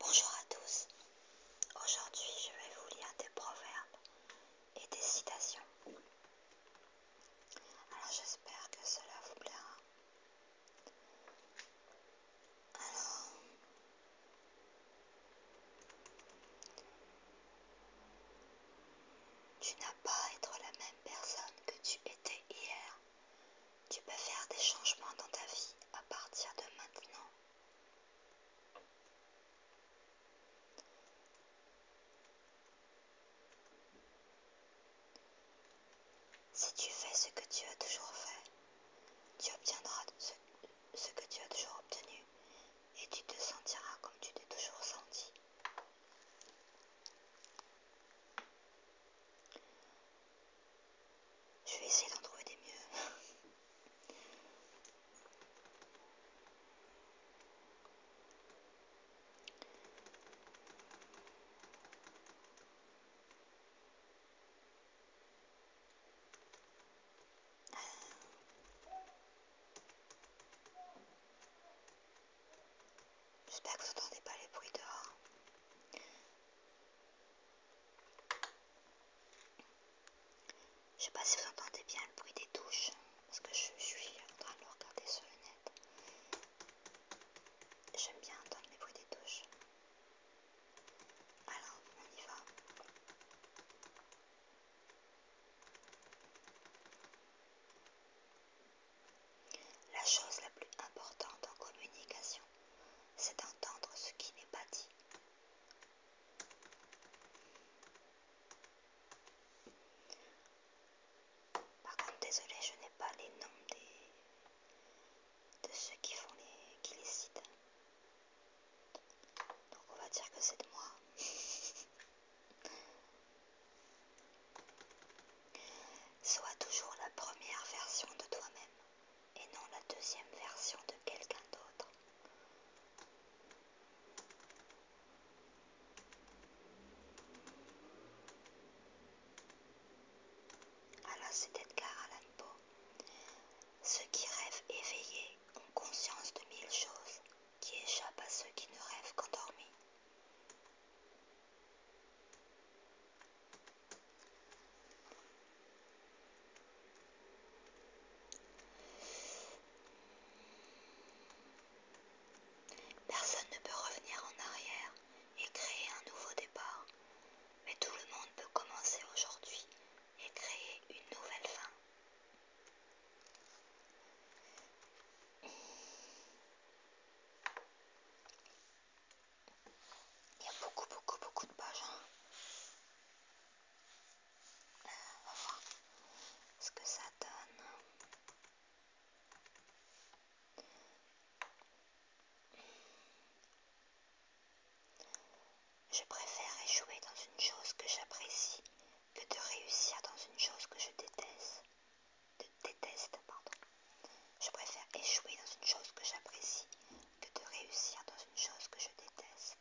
Bonjour à tous, aujourd'hui je vais vous lire des proverbes et des citations. Alors j'espère que cela vous plaira. Alors, tu n'as pas à être la même personne que tu étais hier. Tu peux faire des changements dans ta vie à partir de maintenant. Si tu fais ce que tu as toujours fait, tu obtiendras ce, que tu as toujours obtenu et tu te sentiras comme tu t'es toujours senti. Je vais essayer d'en trouver des mieux. J'espère que vous n'entendez pas les bruits dehors. Je sais pas si vous entendez bien le bruit des touches parce que je, suis en train de regarder sur le net. J'aime bien entendre les bruits des touches. Alors, on y va. La chose la plus importante en communication, c'est d'entendre ce qui n'est pas dit. Par contre, désolé, je n'ai pas les noms des... de ceux qui font les, qui les citent. Donc on va dire que c'est de moi. Sois toujours la première version de toi-même et non la deuxième version de quelqu'un d'autre. Alors c'est Edgar Allan Poe. Ceux qui rêvent éveillés ont conscience de mille choses qui échappent à ceux qui ne rêvent qu'endormis. Personne ne peut revenir en arrière et créer un nouveau départ, mais tout le monde peut commencer aujourd'hui et créer une nouvelle fin. Il y a beaucoup, beaucoup, beaucoup de pages. Hein. on va voir ce que ça donne. Je préfère échouer dans une chose que j'apprécie que de réussir dans une chose que je déteste. Je préfère échouer dans une chose que j'apprécie que de réussir dans une chose que je déteste.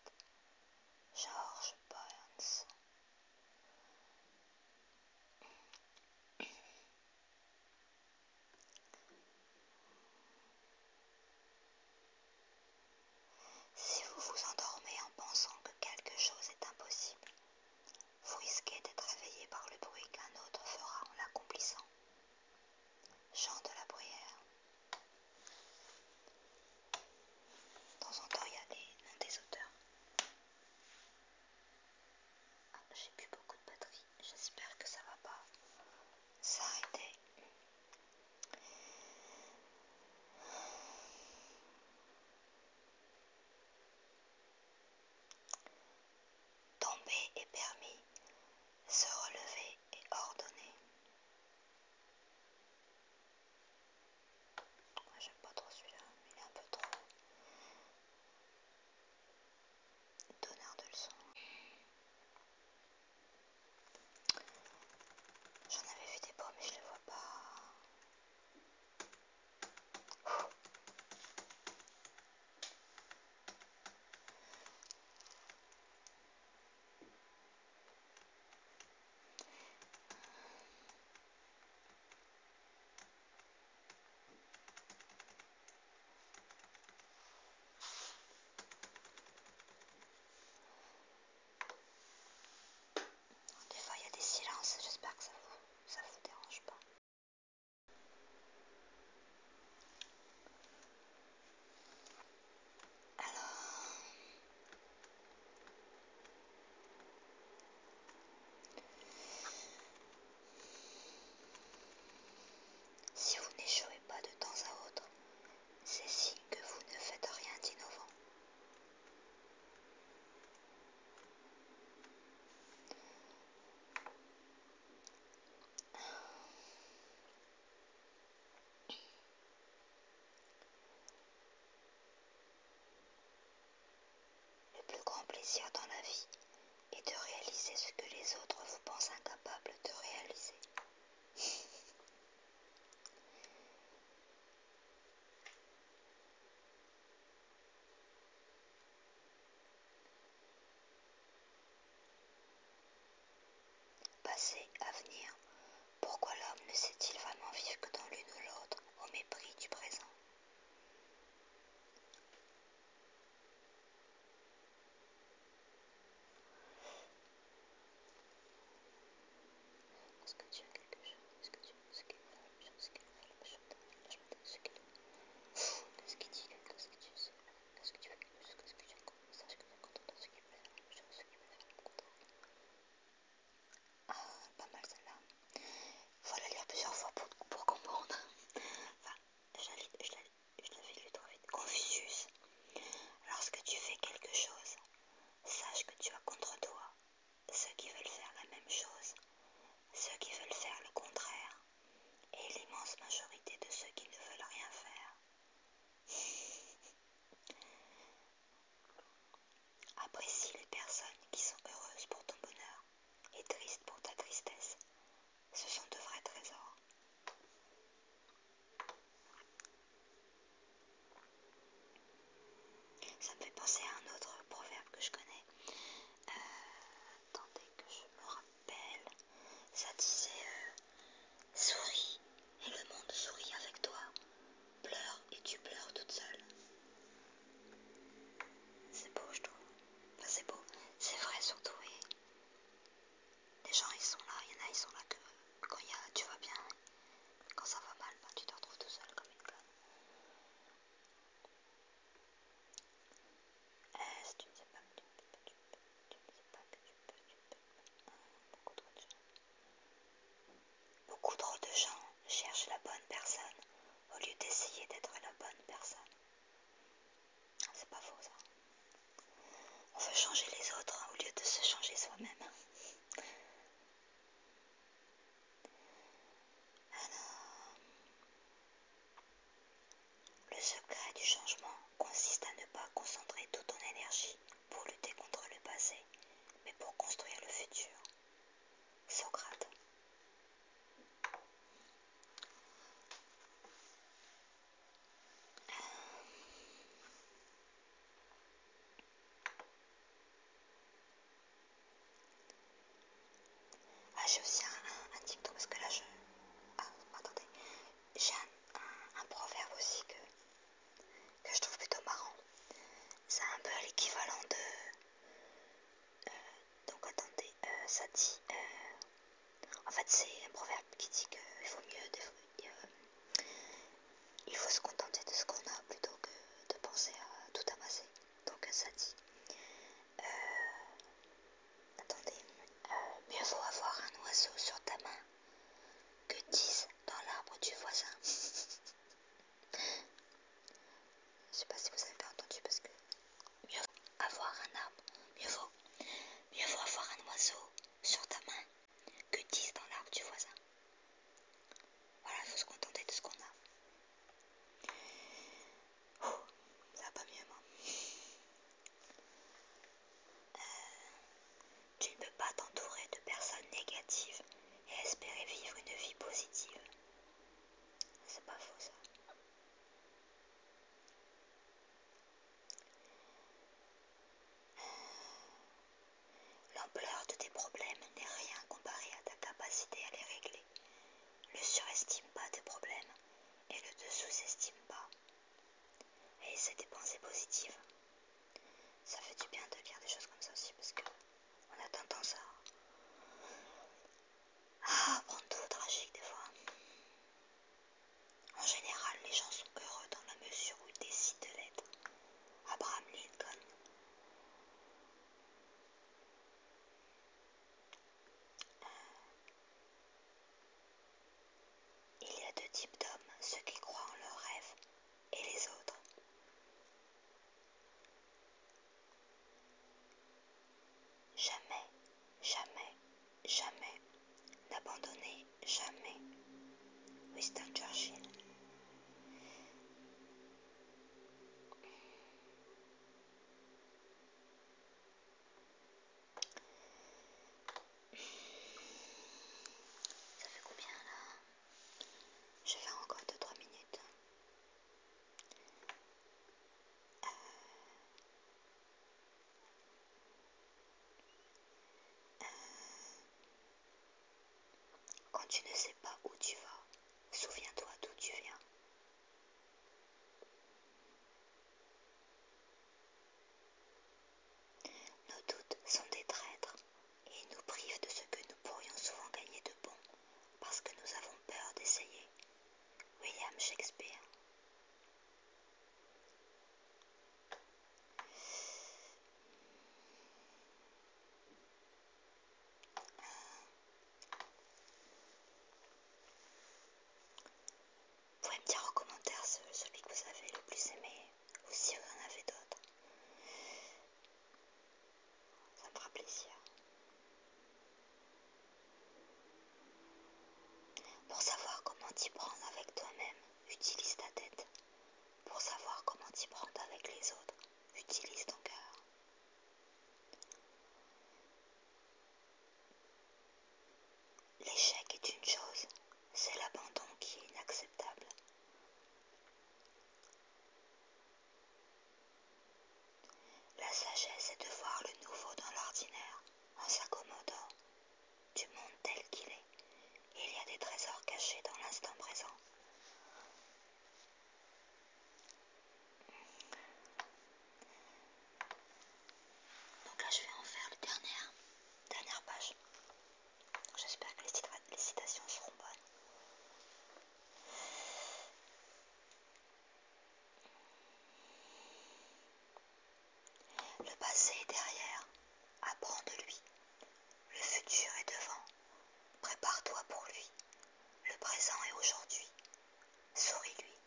George Burns. Si vous vous endormez en pensant que quelque chose est impossible, vous risquez d'être réveillé par le bruit qu'un autre fera en l'accomplissant. Chant de la bruyère. De temps en temps, il y a des auteurs. Ah, j'ai plus beaucoup de batterie. J'espère que ça va pas s'arrêter. Tomber est permis, se relever et ordonner. Moi j'aime pas trop celui-là, il est un peu trop donneur de leçons. J'en avais vu des beaux mais je les vois pas. Des fois il y a des silences, j'espère que ça vous, dérange pas. Alors, si vous n'échouez pas de temps à autre, c'est signe que vous ne faites rien d'innovant. Le plus grand plaisir dans la vie est de réaliser ce que les autres vous pensent incapables de réaliser. Passé, avenir, pourquoi l'homme ne sait-il vraiment vivre que dans l'une ou l'autre, au mépris du présent Est-ce que tu as quelque chose Est-ce que tu quelque chose Qu'est-ce qu'il dit Qu'est-ce que tu sais Qu'est-ce que tu sais Qu'est-ce que tu veux Sache que es content de ce qui me la je veux ce qui me plaît, au contraire. Ah, pas mal celle-là. Faut la lire plusieurs fois pour, comprendre. Enfin, je la lis, trop vite. Confucius. Lorsque tu fais quelque chose, sache que tu as contre toi ceux qui veulent faire la même chose, ceux qui veulent faire le contraire et l'immense majorité de ceux qui ne veulent rien faire. Apprécie les personnes qui sont heureuses pour ton bonheur et tristes pour ta tristesse. Ce sont de vrais trésors. Ça me fait penser à un autre proverbe que je connais. Euh, attendez que je me rappelle. Ça disait euh, souris et le monde sourit avec toi. Pleure et tu pleures toute seule. C'est beau, je trouve. c'est beau. C'est vrai surtout. Et les gens, ils sont là. Il y en a, ils sont là que quand tu vas bien. Quand ça va mal, ben, tu te retrouves tout seul comme une conne. Beaucoup trop de gens cherchent la bonne personne au lieu d'essayer d'être la bonne personne. C'est pas faux ça. On veut changer les autres au lieu de se changer soi-même le secret du changement consiste à ne pas concentrer toute ton énergie pour lutter contre le passé, mais pour construire le futur. Socrate. Ah, j'ai aussi un, dicton parce que là je. Ah, attendez. J'ai un, proverbe aussi que, que je trouve plutôt marrant. C'est un peu l'équivalent de. Euh, donc attendez, euh, ça dit. Euh, en fait, c'est un proverbe qui dit qu'il faut mieux. il faut se contenter de ce qu'on a plutôt que de penser à tout amasser. Donc ça dit euh, attendez, mieux vaut avoir un oiseau sur ta main que 10 dans l'arbre du voisin. Je sais pas si vous avez pas entendu parce que mieux vaut avoir un arbre, mieux vaut, mieux vaut avoir un oiseau sur ta main que dix dans l'arbre du voisin. Voilà, il faut se contenter de ce qu'on a. Oh, ça va pas mieux, moi. Euh, tu ne peux pas t'entourer de personnes négatives et espérer vivre une vie positive. C'est pas faux, ça. Euh, l'ampleur de tes problèmes n'est rien comparé à ta capacité à les régler le surestime pas des problèmes et le dessous estime pas. Et c'est des pensées positives. Ça fait du bien de lire des choses comme ça aussi parce que on a tendance à, prendre tout au tragique des fois. En général, les gens sont heureux dans la mesure où ils décident de l'être. Abraham Lincoln il y a deux types d'hommes, ceux qui croient en leurs rêves et les autres. Jamais, jamais, jamais, n'abandonnez jamais. Winston Churchill. Ça fait combien là Je vais encore 2-3 minutes. Euh, euh, quand tu ne sais pas où tu vas, souviens-toi d'où tu viens. Nos doutes sont des traîtres et nous privent de ce que nous pourrions souvent gagner de bon parce que nous avons peur d'essayer. William Shakespeare. Vous pouvez me dire en commentaire celui que vous avez le plus aimé ou si vous en avez d'autres. Ça me fera plaisir. Pour savoir comment t'y prendre avec toi-même, utilise ta tête. Pour savoir comment t'y prendre avec les autres, utilise ton cœur. L'échec est une chose, c'est l'abandon qui est inacceptable. La sagesse est de voir le nouveau dans l'ordinaire en s'accommodant du monde tel qu'il est. Il y a des trésors cachés dans l'instant présent. Donc là, je vais en faire le dernière page. J'espère que les, les citations seront bonnes. Le passé est derrière, apprends de lui. Le futur est devant, Prépare-toi pour lui. Le présent est aujourd'hui. Souris-lui.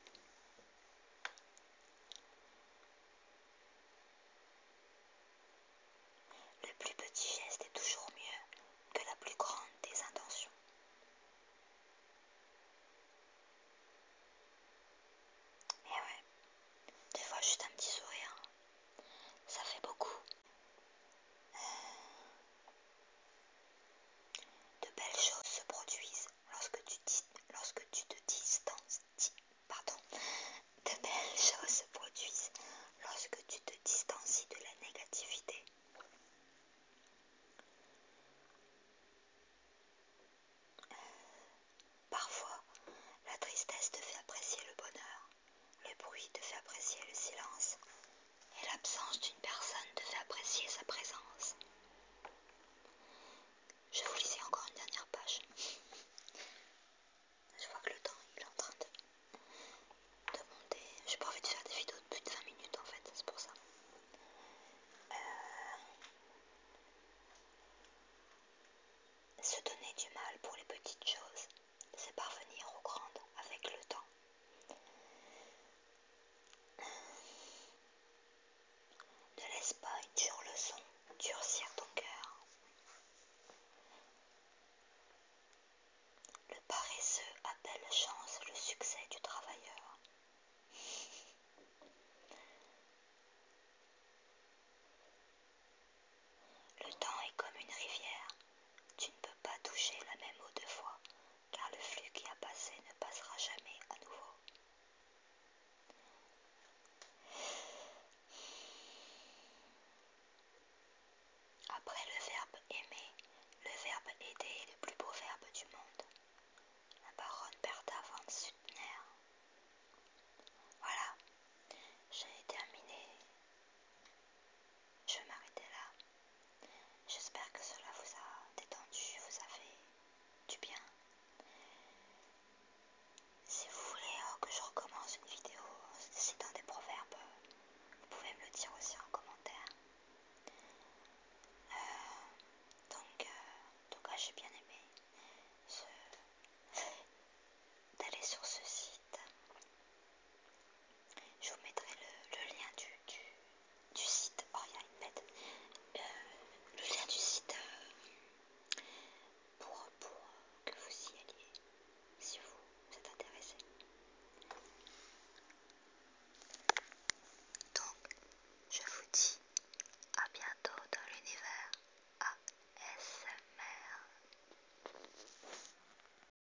Le plus petit geste est toujours mieux que la plus grande des intentions. Et eh ouais, des fois juste un petit sourire, ça fait beaucoup. De belles choses se produisent lorsque tu, te distances. De distancies de la négativité. parfois, la tristesse te fait apprécier le bonheur, le bruit te fait apprécier le silence, et l'absence d'une personne devait apprécier sa présence. Je vous lisais encore une dernière page. Je vois que le temps il est en train de, monter. J'ai pas envie de faire des vidéos de plus de 20 minutes en fait, c'est pour ça. Euh, se donner du mal pour les petites choses c'est parvenir aux grandes avec le temps. Ne pas une dure leçon durcir ton cœur. Le paresseux appelle chance le succès du travailleur. Le temps est comme une rivière, tu ne peux pas toucher la même eau deux fois, car le flux qui a passé ne passera jamais à nouveau. Après le verbe aimer, le verbe aider est le plus beau verbe du monde. La baronne Bertha von Suttner. Voilà, j'ai terminé. Je m'arrêtais là. J'espère que cela vous a détendu, vous a fait du bien. Si vous voulez oh, que je recommence une vidéo en citant des proverbes, vous pouvez me le dire aussi en commentaire. Euh, donc, euh, en tout cas, j'ai bien aimé d'aller sur ce site je vous mettrai le, lien du, site. Oh, euh, le lien du site euh, pour, que vous y alliez si vous êtes intéressé. Donc, je vous dis à bientôt dans l'univers ASMR.